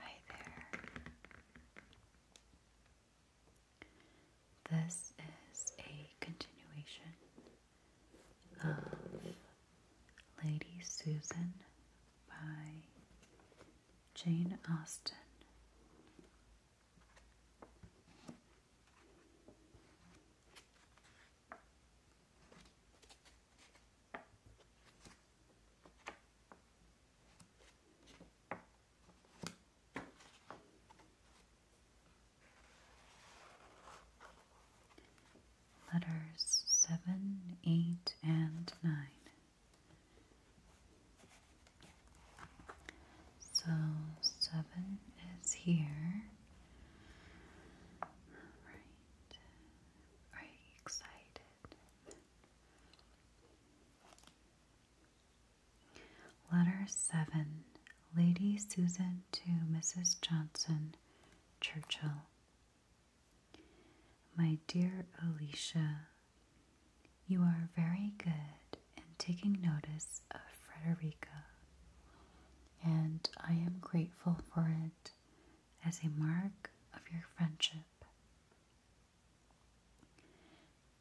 Hi there. This is a continuation of uh, Lady Susan by Jane Austen. Letters 7, 8, and 9. So 7 is here. Right. Are excited? Letter 7. Lady Susan to Mrs. Johnson Churchill. My dear Alicia, you are very good in taking notice of Frederica, and I am grateful for it as a mark of your friendship.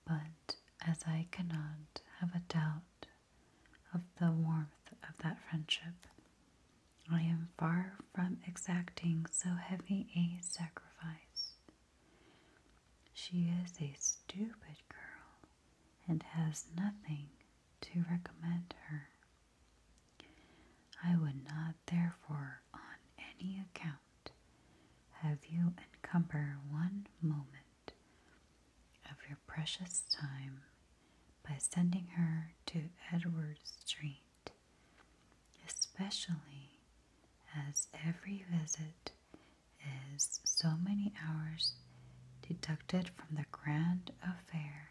But as I cannot have a doubt of the warmth of that friendship. I am far from exacting so heavy a sacrifice. She is a stupid girl and has nothing to recommend her. I would not, therefore, on any account, have you encumber one moment of your precious time by sending her to Edward Street, especially as every visit is so many hours deducted from the grand affair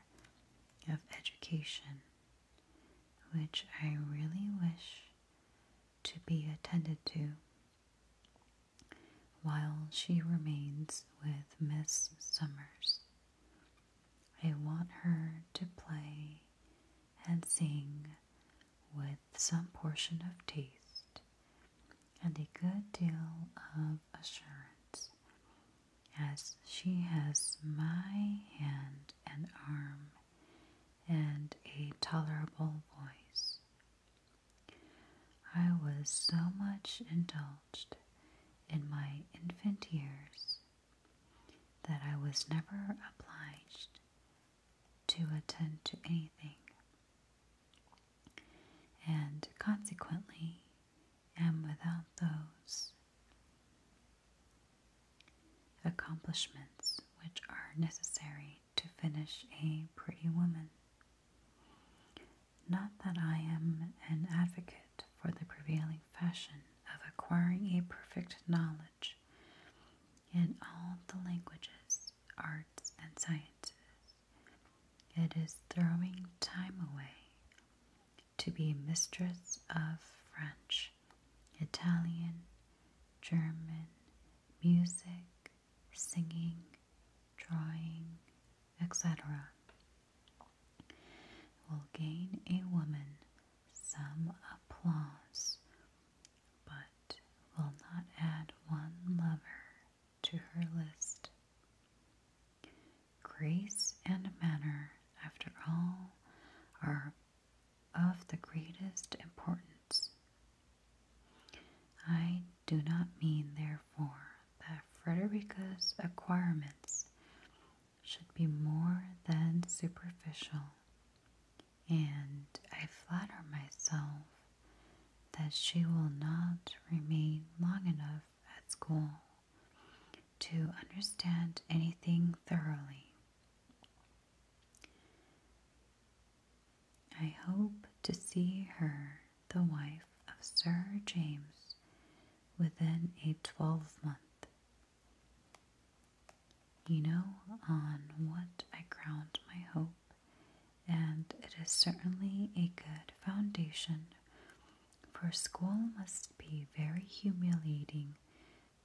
of education, which I really wish to be attended to while she remains with Miss Summers. I want her to play and sing with some portion of taste and a good deal of assurance, as she has my hand and arm and a tolerable voice. I was so much indulged in my infant years that I was never obliged to attend to anything, and consequently am without those accomplishments which are necessary to finish a pretty woman. Not that I am an advocate for the prevailing fashion of acquiring a perfect knowledge in all the languages, arts, and sciences. It is throwing time away to be mistress of French, Italian, German, music, singing, drawing, etc., will gain a woman some applause, but will not add one lover to her list. Grace and manner, after all, are of the greatest importance. I do not mean, therefore, that Frederica's acquirements should be more than superficial, and I flatter myself that she will not remain long enough at school to understand anything thoroughly. I hope to see her, the wife of Sir James, within a twelvemonth. You know on what I ground my hope, and it is certainly a good foundation, for school must be very humiliating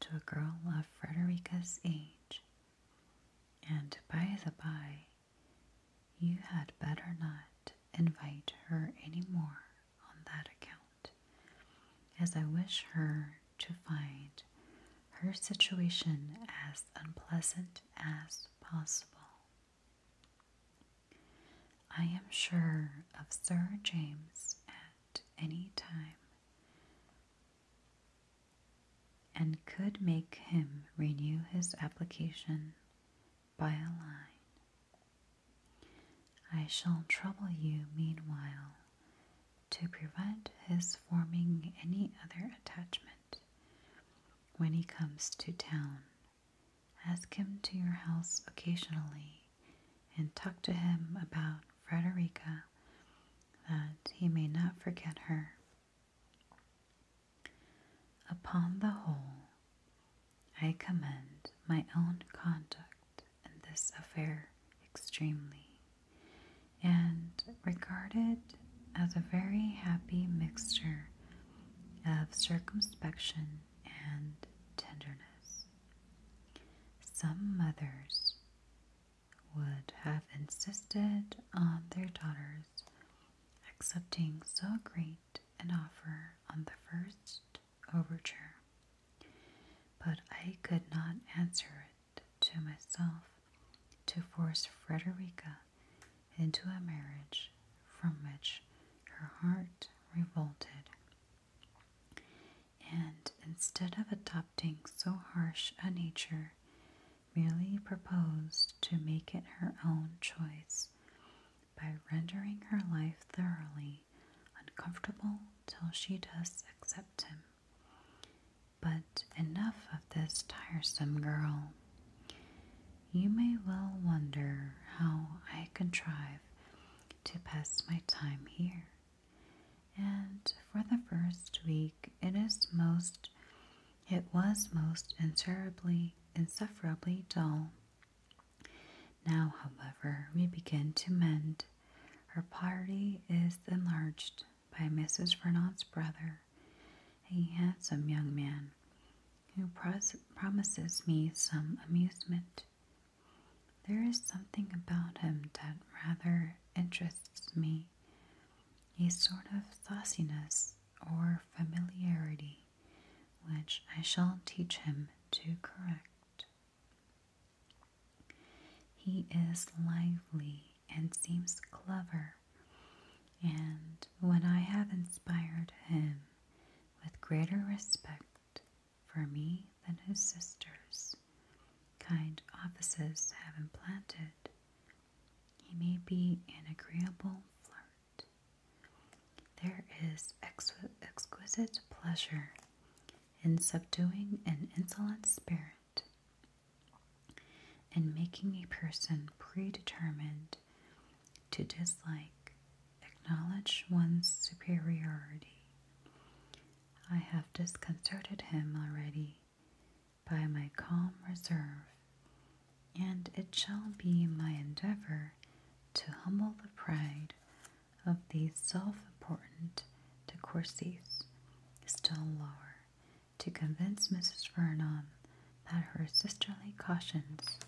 to a girl of Frederica's age. And by the bye. You had better not invite her any more on that account, as I wish her to find her situation as unpleasant as possible. I am sure of Sir James at any time and could make him renew his application by a line. I shall trouble you meanwhile to prevent his forming any other attachment. When he comes to town, ask him to your house occasionally and talk to him about Frederica that he may not forget her. Upon the whole, I commend my own conduct in this affair extremely, and regard it as a very happy mixture of circumspection and tenderness. Some mothers would have insisted on their daughters accepting so great an offer on the first overture, but I could not answer it to myself to force Frederica into a marriage from which her heart revolted. And instead of adopting so harsh a nature, merely proposed to make it her own choice by rendering her life thoroughly uncomfortable till she does accept him. But enough of this tiresome girl. You may well wonder how I contrive to pass my time here. And for the first week, it is most it was most intolerably, insufferably dull. Now, however, we begin to mend. Our party is enlarged by Mrs. Vernon's brother, a handsome young man, who promises me some amusement. There is something about him that rather interests me a sort of sauciness or familiarity, which I shall teach him to correct. He is lively and seems clever, and when I have inspired him with greater respect for me than his sisters, kind offices have implanted he may be an agreeable flirt. There is exquisite pleasure in subduing an insolent spirit and making a person predetermined to dislike, acknowledge one's superiority. I have disconcerted him already by my calm reserve, and it shall be my endeavor to humble the pride of these self important de Courcys still lower, to convince Mrs. Vernon that her sisterly cautions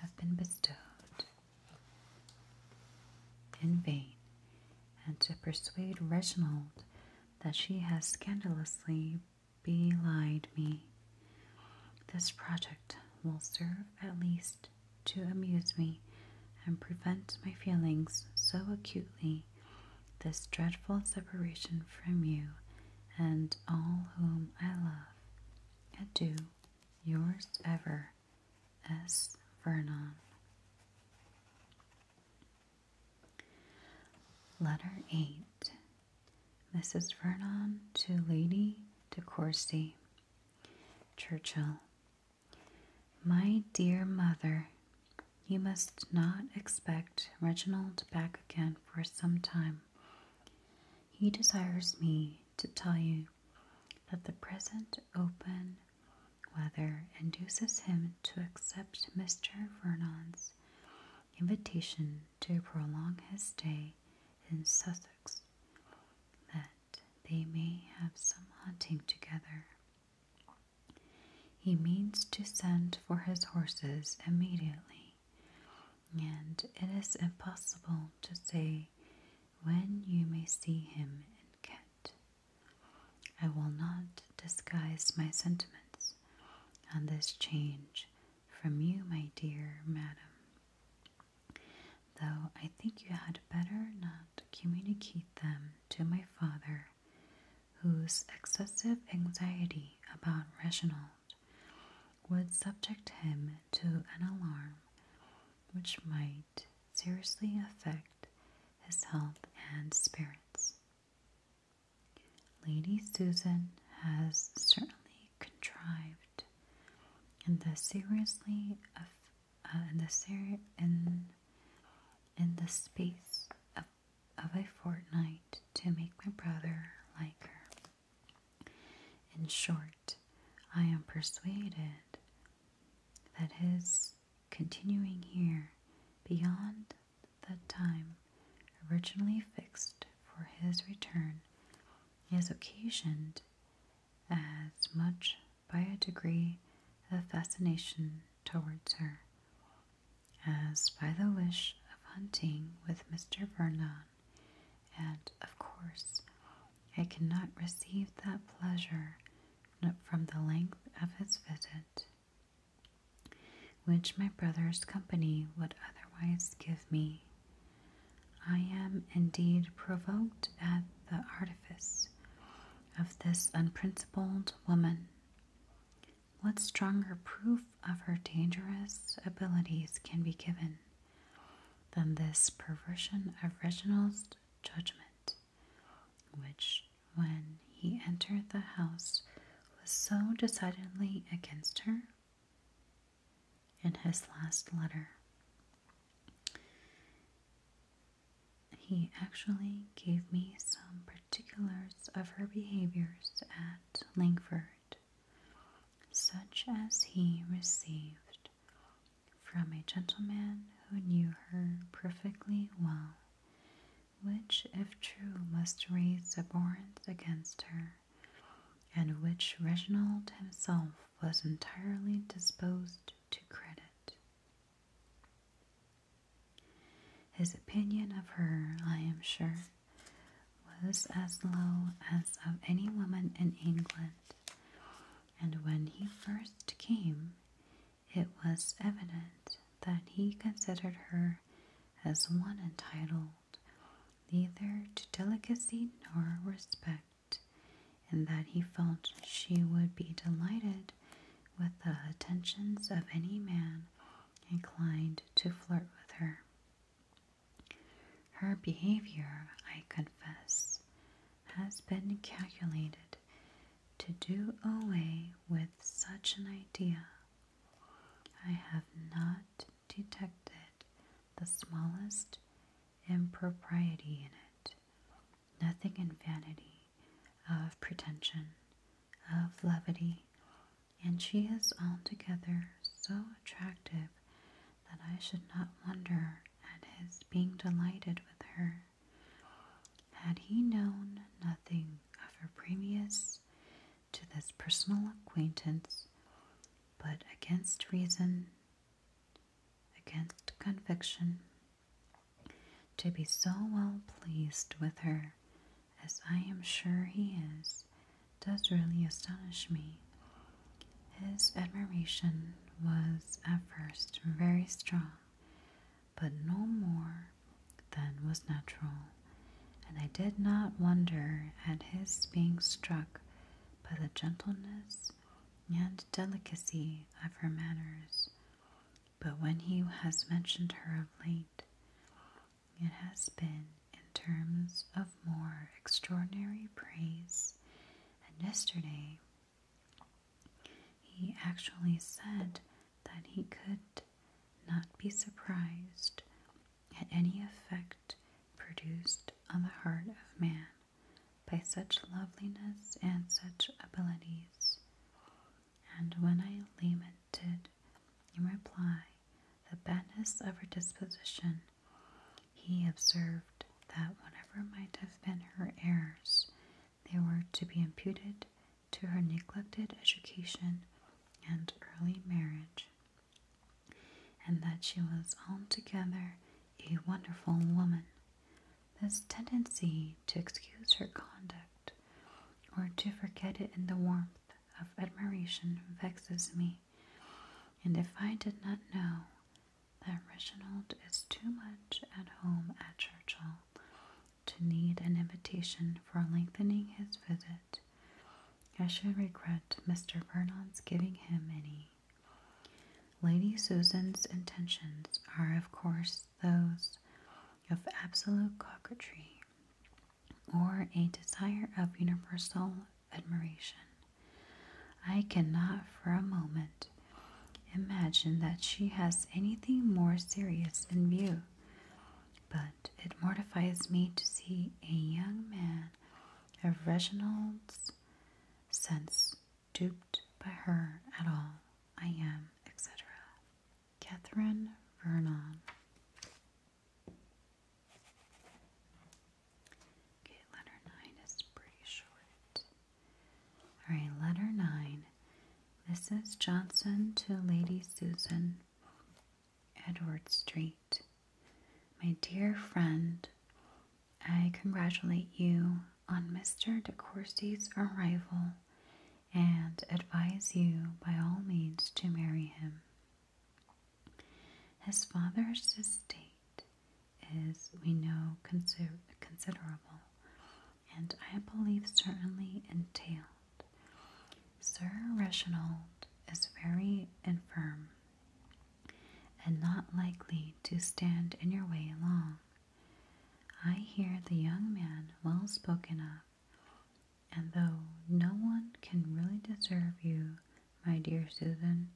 have been bestowed in vain, and to persuade Reginald that she has scandalously belied me. This project will serve at least to amuse me and prevent my feelings so acutely this dreadful separation from you and all whom I love. Adieu, yours ever, S. Vernon. Letter 8 Mrs. Vernon to Lady de Courcy. Churchill. My dear mother, you must not expect Reginald back again for some time. He desires me to tell you that the present open weather induces him to accept Mr. Vernon's invitation to prolong his stay in Sussex, that they may have some hunting together. He means to send for his horses immediately, and it is impossible to say when you may see him in Kent. I will not disguise my sentiments on this change from you, my dear madam, though I think you had better not communicate them to my father, whose excessive anxiety about Reginald would subject him to an alarm which might seriously affect his health and spirits. Lady Susan has certainly contrived in the seriously of uh, in the ser- in in the space of a fortnight to make my brother like her. In short, I am persuaded that his continuing here beyond the time originally fixed for his return has occasioned as much by a degree of fascination towards her as by the wish of hunting with Mr. Vernon, and of course I cannot receive that pleasure from the length of his visit, which my brother's company would otherwise give me. I am indeed provoked at the artifice of this unprincipled woman. What stronger proof of her dangerous abilities can be given than this perversion of Reginald's judgment? which, when he entered the house, was so decidedly against her? In his last letter, he actually gave me some particulars of her behaviors at Langford, such as he received from a gentleman who knew her perfectly well, which, if true, must raise abhorrence against her, and which Reginald himself was entirely disposed to credit. His opinion of her, I am sure, was as low as of any woman in England, and when he first came, it was evident that he considered her as one entitled neither to delicacy nor respect, and that he felt she would be delighted with the attentions of any man inclined to flirt with her. Her behavior, I confess, has been calculated to do away with such an idea. I have not detected the smallest impropriety in it, nothing in vanity, of pretension, of levity, and she is altogether so attractive that I should not wonder at his being delighted with her. Had he known nothing of her previous to this personal acquaintance, but against reason, against conviction, to be so well pleased with her, as I am sure he is, does really astonish me. His admiration was at first very strong, but no more than was natural, and I did not wonder at his being struck by the gentleness and delicacy of her manners. But when he has mentioned her of late, it has been in terms of more extraordinary praise, and yesterday he actually said that he could not be surprised at any effect produced on the heart of man by such loveliness and such abilities. And when I lamented in reply the badness of her disposition, he observed that whatever might have been her errors, they were to be imputed to her neglected education and early marriage, and that she was altogether a wonderful woman. This tendency to excuse her conduct or to forget it in the warmth of admiration vexes me, and if I did not know that Reginald is too much at home at Churchill to need an invitation for lengthening his visit. I should regret Mr. Vernon's giving him any. Lady Susan's intentions are, of course, those of absolute coquetry or a desire of universal admiration. I cannot for a moment imagine that she has anything more serious in view, but it mortifies me to see a young man of Reginald's sense duped by her at all. I am, etc. Catherine Vernon. Okay, letter 9 is pretty short. Alright, letter 9. This Johnson to Lady Susan, Edward Street. My dear friend, I congratulate you on Mr. De Courcy's arrival and advise you by all means to marry him. His father's estate is, we know, considerable, and I believe certainly entailed. Sir Reginald is very infirm and not likely to stand in your way long. I hear the young man well spoken of, and though no one can really deserve you my dear Susan.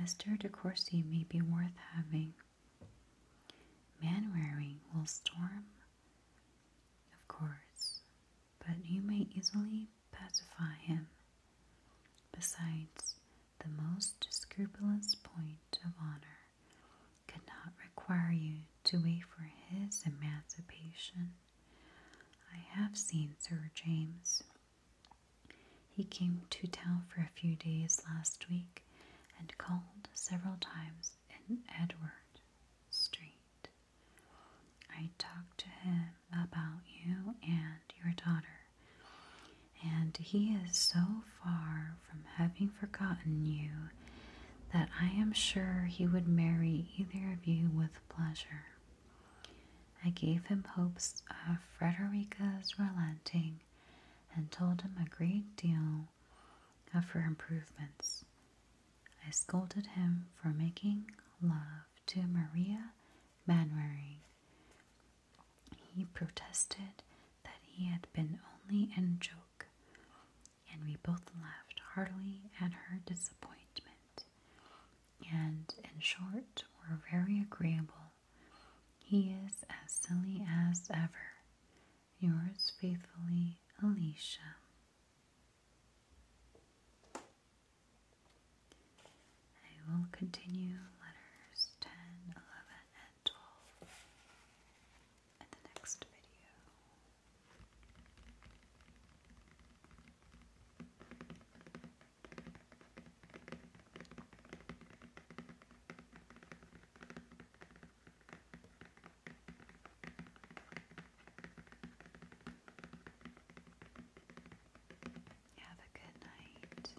Mr. De Courcy may be worth having. Manwaring will storm, of course, but you may easily pacify him. Besides, the most scrupulous point of honor could not require you to wait for his emancipation. I have seen Sir James. He came to town for a few days last week and called several times in Edward Street. I talked to him about you and your daughter, and he is so far from having forgotten you that I am sure he would marry either of you with pleasure. I gave him hopes of Frederica's relenting and told him a great deal of her improvements. I scolded him for making love to Maria Manwaring. He protested that he had been only in joke, and we both laughed heartily at her disappointment and, in short, were very agreeable. He is as silly as ever. Yours faithfully, Alicia. I will continue letters 10, and 12 in the next video. Have a good night.